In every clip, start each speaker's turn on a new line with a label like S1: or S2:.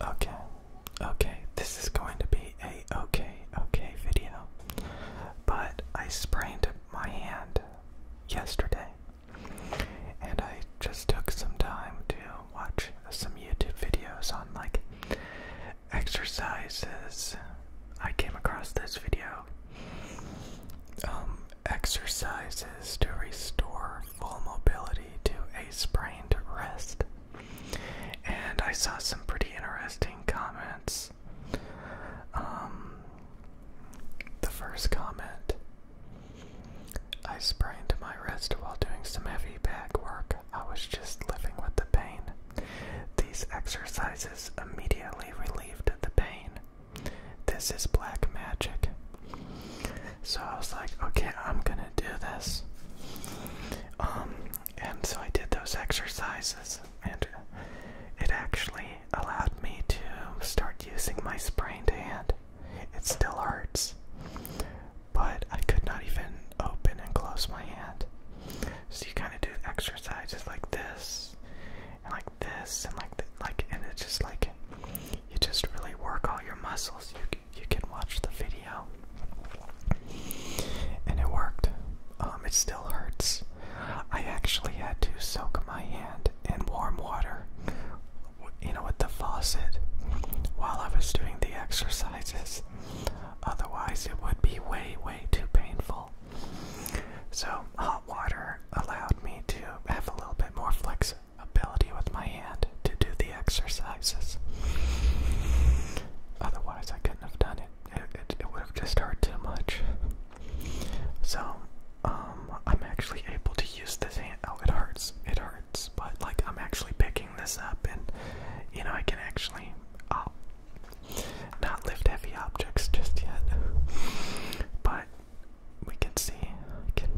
S1: Okay, okay, this is going to be a okay, okay video. But I sprained my hand yesterday, and I just took some time to watch some YouTube videos on like exercises. I came across this video. Um, exercises to restore full mobility to a sprained wrist. And I saw some pretty interesting comments. Um, the first comment I sprained my wrist while doing some heavy back work. I was just living with the pain. These exercises immediately relieved the pain. This is black magic. So I was like, okay, I'm gonna do this. Um, and so I did those exercises, and it actually allowed me to start using my sprained hand. It still hurts, but I could not even open and close my hand. So you kind of do exercises like this, and like this, and like th like, and it's just like you just really work all your muscles. You you can watch the video, and it worked. Um, it still hurts. I actually had to soak my hand in warm water, you know, with the faucet, while I was doing the exercises. Otherwise, it would be way way too painful. So hot water allowed me to have a little bit more flex ability with my hand to do the exercises. Otherwise, I couldn't have done it. It, would have just hurt too much. So, um, I'm actually able to use this hand. Oh, it hurts. It hurts. But, like, I'm actually picking this up and, you know, I can actually uh, not lift heavy objects just yet. But we can see. I can.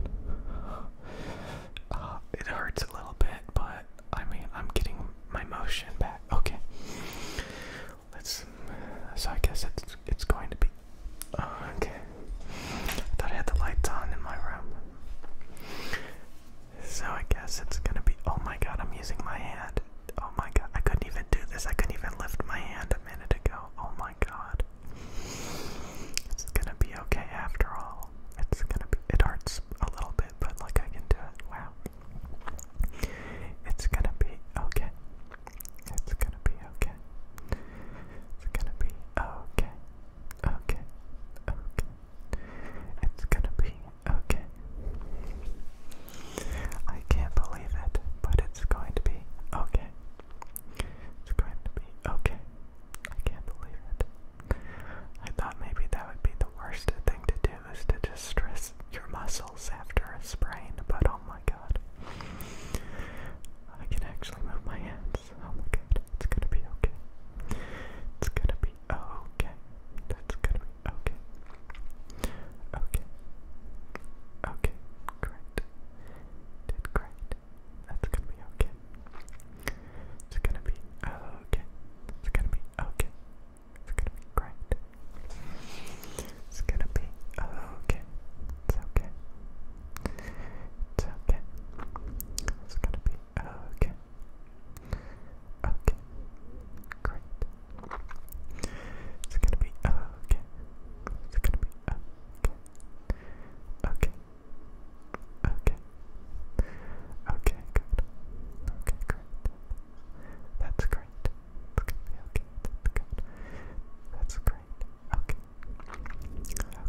S1: Uh, it hurts a little bit, but I mean, I'm getting my motion back. Okay. Let's. So I guess it's it's going to be. Uh, okay. I thought I had the lights on in my room. So I guess it's gonna be. Oh my god! I'm using my hand. Oh my god! I couldn't even do this. I couldn't even lift my hand a minute ago. Oh my god! It's gonna be okay after all. It's gonna be, it hurts a little bit, but like I can do it. Wow. It's gonna be okay. It's gonna be okay. It's gonna be okay. Okay. Okay. It's gonna be okay. I can't believe it, but it's going to be okay. It's going to be okay. I can't believe it. I thought maybe that would be the worst thing to do is to just your muscles after a sprain, but oh my god. I can actually move my hands. Oh my god. It's gonna be okay. It's gonna be okay. That's gonna be okay. Okay. Okay. Great did gonna be okay. It's gonna be okay. It's gonna be okay. It's gonna be great. It's gonna be okay. It's okay. It's okay. It's gonna be okay. Okay. Great. It's gonna be okay. It's gonna be okay. Okay. Okay. Okay, good. Okay, great. That's great. It's okay. good. That's great. Okay. Okay.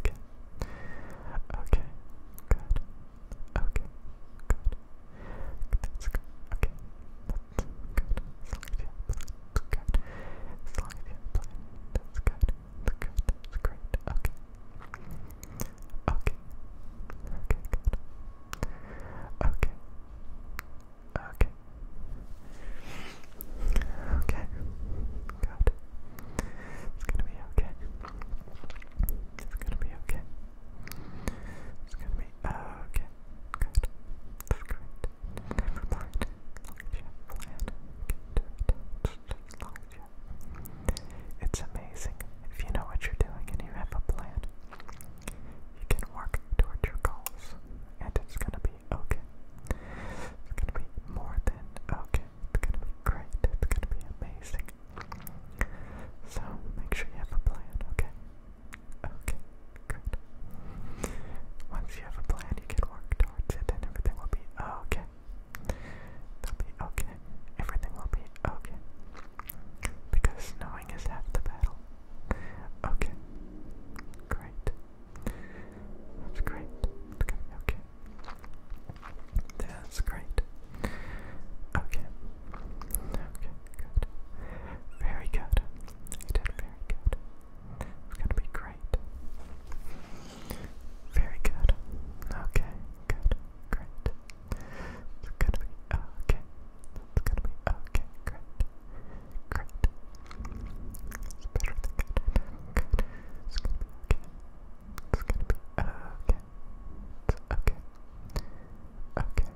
S1: Okay. Good. Okay. Good. That's good. Okay. That's good. That's good. That's great. Okay. Okay. Okay, Okay. Okay. Okay. It's gonna be okay. It's gonna be okay. It's gonna be okay. Good. That's great. It's amazing. If you know what you're doing and you have a plan, you can work towards your goals. And it's gonna be okay. It's gonna be more than okay. It's gonna be great. It's gonna be amazing. So make sure you have a plan, okay? Okay, good. Once you have a plan, you can work towards it and everything will be okay. It'll be okay. Everything will be okay. Because knowing is half the battle. Okay. Great. That's great. It's okay. That's great. Okay. Okay, good. Very good. You did very good. It's gonna be great. Very good. Okay, good, great. It's gonna be okay. It's gonna be okay, great. Great. It's better than good. Good. It's gonna be okay. It's gonna be okay. okay. Okay.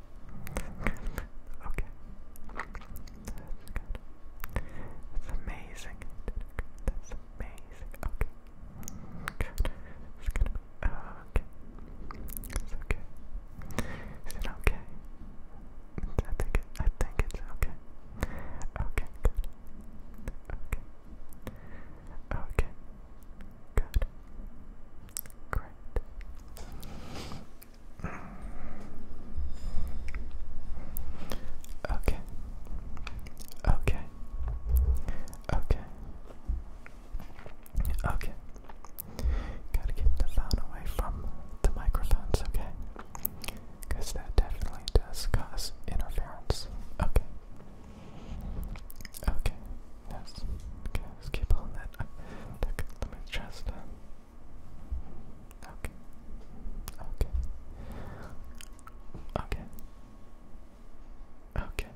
S1: Okay. That's amazing. That's amazing. Okay. It's gonna be okay. It's okay. okay? I think it, I think it's okay. Okay, good. Okay. Okay. Good. Great. Okay. Okay. Okay. Okay. Gotta keep the phone away from the microphones, okay? that definitely does cause interference. Okay. Okay, yes. Okay, let's keep on that. Uh, okay, let me just. Uh, okay. Okay. Okay. Okay.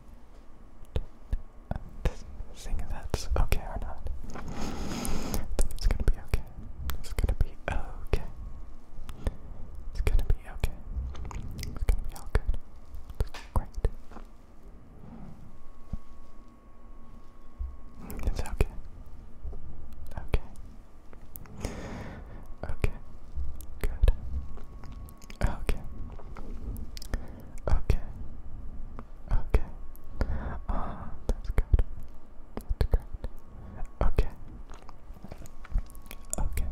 S1: Uh, this, okay or not? think it's gonna be okay. It's gonna be okay. It's gonna be okay. It's gonna be all good. great. It's okay. Okay. Okay. Good. Okay. Okay. Okay. Ah, that's good. That's great. Okay. Okay.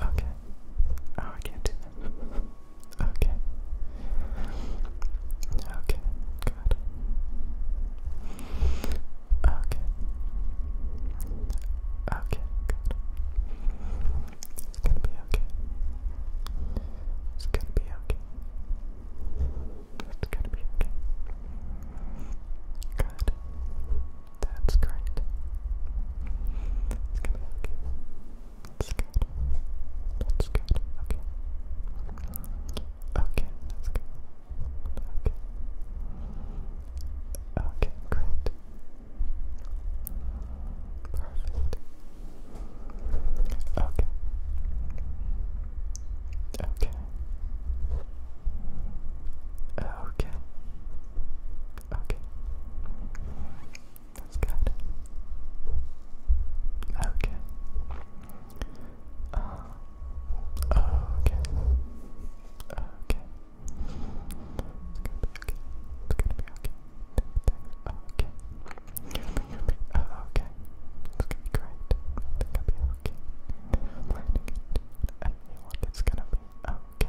S1: Okay. Okay. Oh, I can't do that. Okay. Okay. Good. Okay. Okay. Good. It's gonna be okay. It's gonna be okay. It's gonna be okay. Good. That's great. It's gonna look. That's good. That's good. Okay. Okay, that's good. Okay. Okay, great. Perfect. Okay. Okay. Okay. Okay. That's good. Okay. Uh, okay. Okay. It's gonna be okay. It's gonna be okay. okay. Okay. It's gonna be great. I think i be okay. I'm planning it's gonna be okay.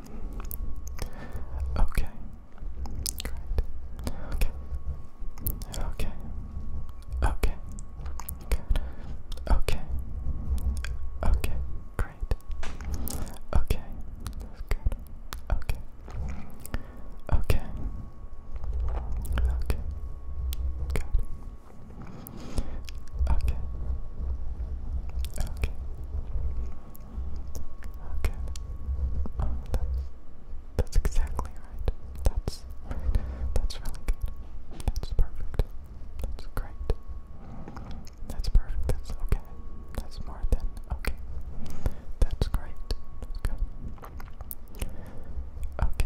S1: Okay. Great. Okay. Okay. Okay. Good. Okay. Okay. Great. Okay. good. Okay. Okay. Okay. Good. Okay. Okay. Okay. Oh, that's exactly right. That's right. That's really good. That's perfect. That's great. That's perfect. That's okay. That's more than okay. That's great. good. Okay.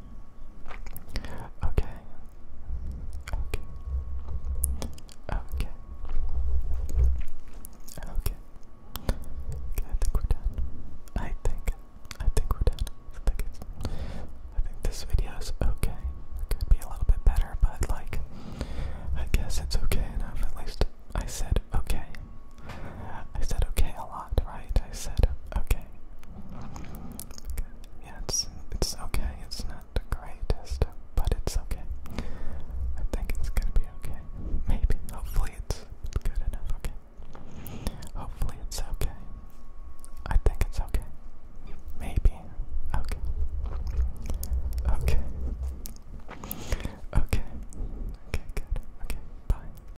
S1: Okay. Okay. Okay. Okay. I think we're done. I think, I think we're done. I think, it's, I think this video's okay. Could be a little bit better, but like, I guess it's okay enough. At least I said okay. I said okay a lot, right? I said okay. Yeah, it's okay. It's not the greatest, but it's okay. I think it's gonna be okay. Maybe. Hopefully, it's good enough. Okay. Hopefully, it's okay. I think it's okay. Maybe. Okay. Okay. Okay. Okay, good. Okay, bye.